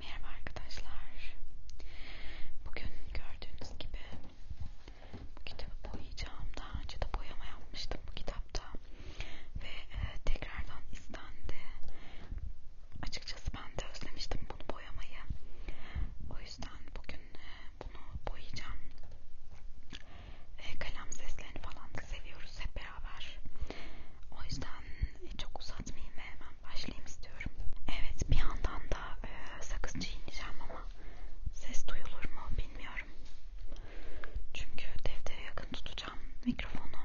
Merhaba arkadaşlar. Bugün gördüğünüz gibi bu kitabı boyayacağım. Daha önce de boyama yapmıştım bu kitapta ve e, tekrardan istendi. Açıkçası ben de özlemiştim bunu boyamayı. O yüzden bugün e, bunu boyayacağım. E, kalem seslerini falan seviyoruz hep beraber. O yüzden e, çok uzatmayayım ve hemen başlayayım istiyorum. Evet bir yandan da e, sakız çiğneyeceğim ama ses duyulur mu bilmiyorum. Çünkü deftere yakın tutacağım mikrofonu.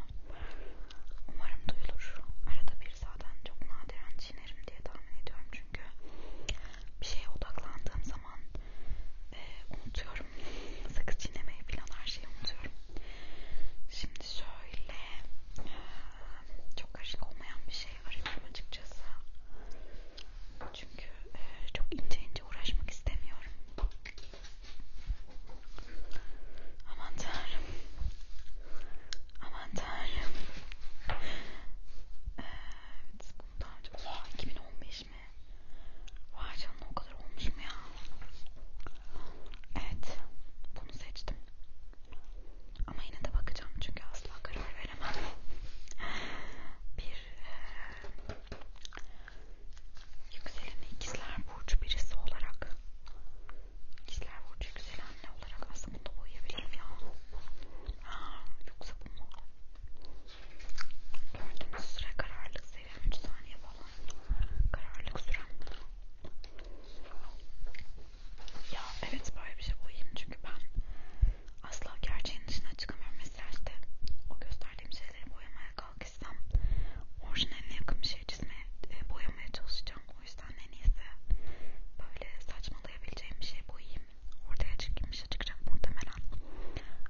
Umarım duyulur. Arada bir zaten çok nadiren çiğnerim diye tahmin ediyorum çünkü bir şeye odaklandığım zaman e, unutuyorum. Sakız çiğnemeyi falan her şeyi unutuyorum. Şimdi şöyle çok karışık olmayan bir şey arıyorum açıkçası. Çünkü e, çok ince ince uğraşmak istemiyorum. Aman tanrım. Aman tanrım. E, evet, bunu daha önce... Oha, 2015 mi? Vay canına o kadar olmuş mu ya? Evet, bunu seçtim. Ama yine de bakacağım çünkü asla karar veremem. Bir e, yükselen ikizler burcu birisi olarak ikizler burcu güzel anne olarak aslında bunu boyayabilirim ya. Ha, yoksa bu mu? Gördüğünüz süre kararlılık seviyorum 3 saniye falan. Kararlılık sürem. Ya evet böyle bir şey bulayım çünkü ben asla gerçeğin dışına çıkamıyorum. Mesela işte o gösterdiğim şeyleri boyamaya kalkışsam orijinaline yakın bir şey çizmeye, e, boyamaya çalışacağım. O yüzden en iyisi böyle saçmalayabileceğim bir şey boyayayım. Ortaya çıkayım, bir şey çıkacak muhtemelen.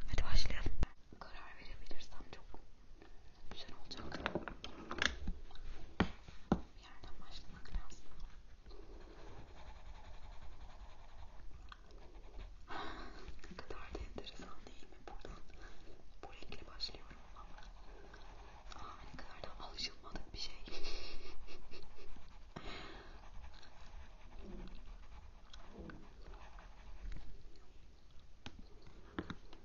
Hadi başlayalım. Karar verebilirsem çok güzel olacak. Bir yerden başlamak lazım. ne kadar da enteresan değil mi? Buradan bu renkle başlıyorum ama. Aa, ne kadar da alışılmadık bir şey.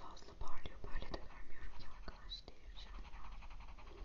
Fazla parlıyor böyle de vermiyorum ki arkadaş değişeceğim ya. Şöyle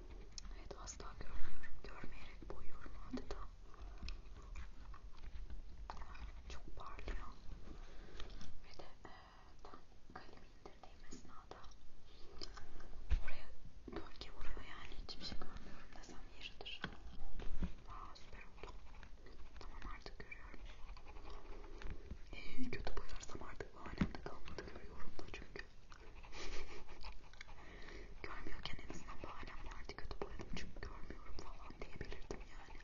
Evet asla görmüyorum. Görmeyerek boyuyorum adeta. Çok parlıyor. Ve de e, tam kalemi indirdiğim esnada oraya gölge vuruyor yani hiçbir şey görmüyorum desem yeridir. Aa süper oldu. Tamam artık görüyorum. Ee, kötü boyarsam artık bu alemde kalmadı görüyorum da çünkü. Görmüyorken en azından bahanem vardı kötü boyadım çünkü görmüyorum falan diyebilirdim yani.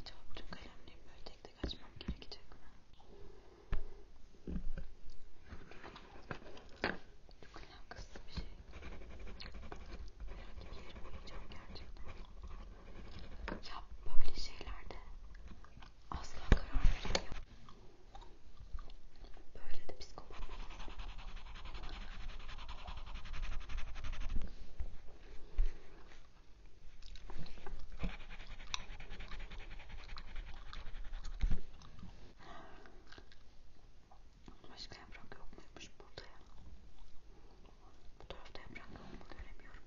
Acaba bütün kalemleri böyle tek tek açmam gerekecek mi? Çok kalem kısıtlı bir şey. Herhangi bir yerim uyuyacağım gerçekten. Ya böyle şeylerde asla karar veremiyorum. Böyle de psikopat. Başka yaprak yok muymuş burada ya? Bu tarafta yaprak yok mu göremiyorum.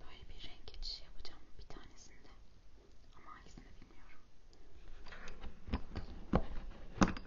Böyle bir renk geçişi yapacağım bir tanesinde. Ama hangisini bilmiyorum. Bakalım.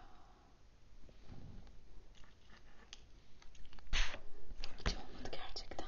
Hiç olmadı gerçekten.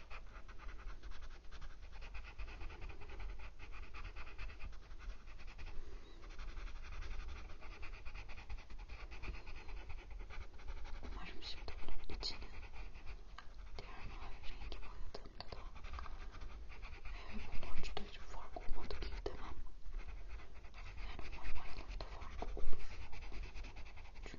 Umarım şimdi bunun içine diğer mavi rengi boyadığımda da e, bunun ucuda hiçbir fark olmadı diye demem. Yani umarım aralarında fark olur. Çünkü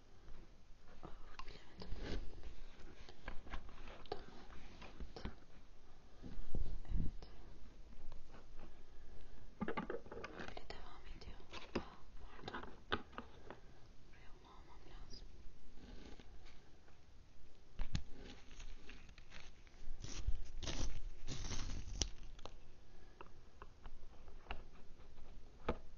Böyle devam ediyor. Aa, pardon. Buraya onu almam lazım. Evet.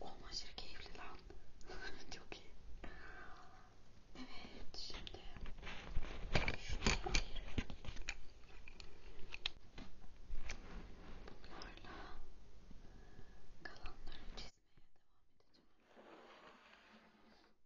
Olma aşırı keyifli lan. Çok iyi. Evet şimdi şunu ayırıyorum. Bunlarla kalanları çizmeye devam edeceğim.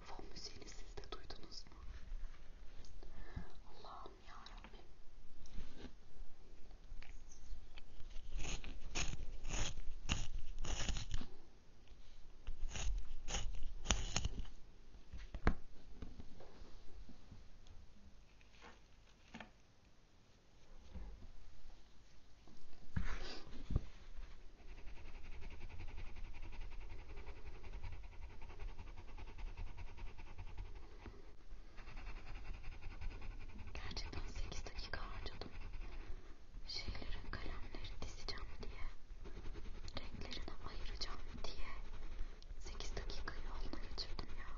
Fon müziğini siz de duydunuz mu? Allah'ım yarabbim. Gerçekten 8 dakika harcadım. Şeyleri, kalemleri dizeceğim diye, renklerini ayıracağım diye 8 dakika yoluna geçirdim ya.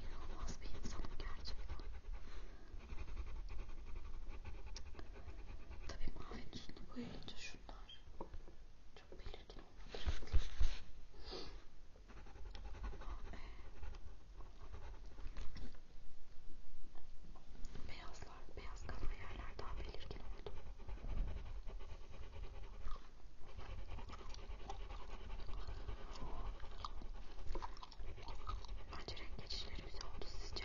İnanılmaz bir insanım gerçekten. Tabii mavinin üstünü boyayınca şunlar çok belirgin olmadı. Beyazlar, beyaz kalan yerler daha belirgin oldu. Bence renk geçişleri güzel oldu sizce.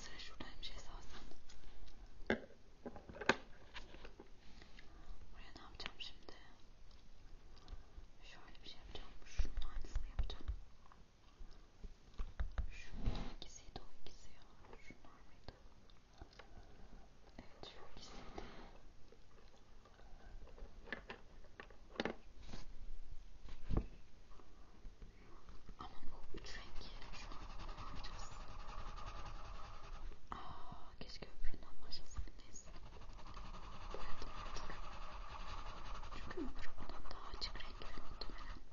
Sıra şurada bir şey salsam. Buraya ne yapacağım şimdi? Şöyle bir şey yapacağım. Şunun aynısını yapacağım. Şöyle Şunun ikisiydi o ikisi ya. Şunlar mıydı? Evet şu ikisiydi. Ama bu üç rengi şu an kullanacağız. Aaa keşke öbüründen başlasaydım neyse. Boyadım artık. Çünkü öbür olan daha açık renkli muhtemelen.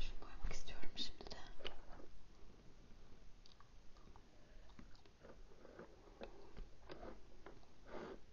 Şunu koymak istiyorum şimdi de.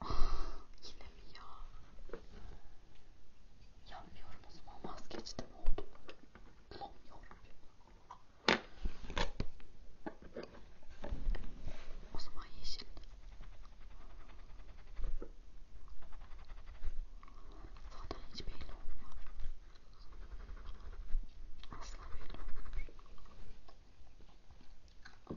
Ah, yine mi ya? Yapmıyorum o zaman vazgeçtim oldu. Bulamıyorum. O zaman yeşil. Zaten hiç belli olmuyor. Asla belli olmuyor. Ama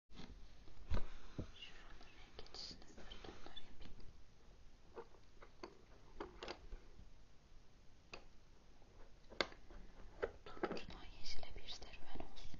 Şuranın geçişini sarılanlar yapayım. Turuncudan yeşile bir serüven olsun.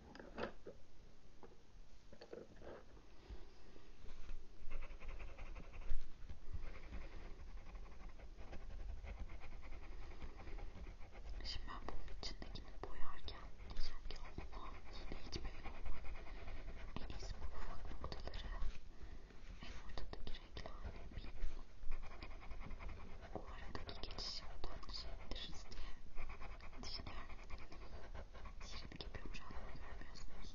Şimdi ben bunun içindekini boyarken diyeceğim ki Allah yine hiç belli olmadı. En iyisi bu ufak noktaları en ortadaki renklerle bir o aradaki geçişi buradan şey diye düşünüyorum. Sihirini yapıyormuş hala görmüyorsunuz.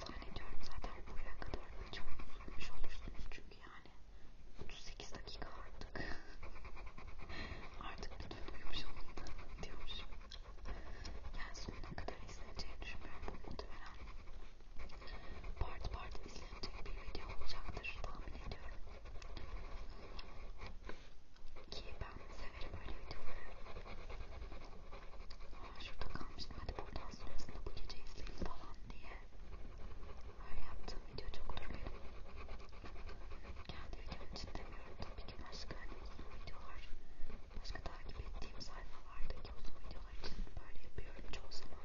Zannediyorum zaten buraya kadar birçoğunu duymuş olursunuz çünkü yani 38 dakika artık. artık lütfen uyumuş olun diyormuş. Yani sonuna kadar izleneceğini düşünmüyorum. Muhtemelen part part izlenecek bir video olacaktır tahmin ediyorum. Ki ben severim böyle videoları. Aa, şurada kalmıştım hadi buradan sonrasında bu gece izleyin falan diye. Öyle yaptığım video çoktur benim. Kendi videom için demiyorum tabii ki başka hani uzun videolar, başka takip ettiğim sayfalardaki uzun videolar için böyle yapıyorum çoğu zaman.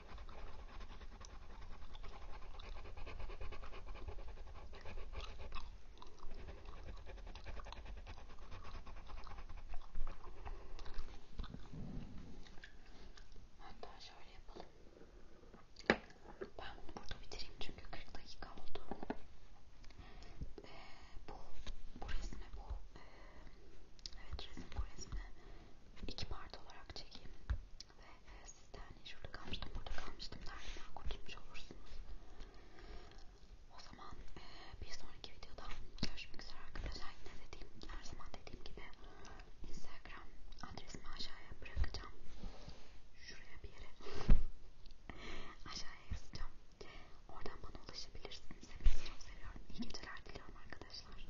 Hatta şöyle yapalım. Ben bunu burada bitireyim çünkü 40 dakika oldu. Ee, bu, bu resmi bu. Ee, evet resim bu resmi iki part olarak çekeyim. Ve sizden hani şurada kalmıştım, burada kalmıştım derdinden hani kurtulmuş olursunuz. O zaman e, bir sonraki videoda görüşmek üzere arkadaşlar. Yine dediğim, her zaman dediğim gibi Instagram adresimi aşağıya bırakacağım. Şuraya bir yere aşağıya yazacağım. Oradan bana ulaşabilirsiniz. Hepinizi çok seviyorum. İyi geceler diliyorum arkadaşlar.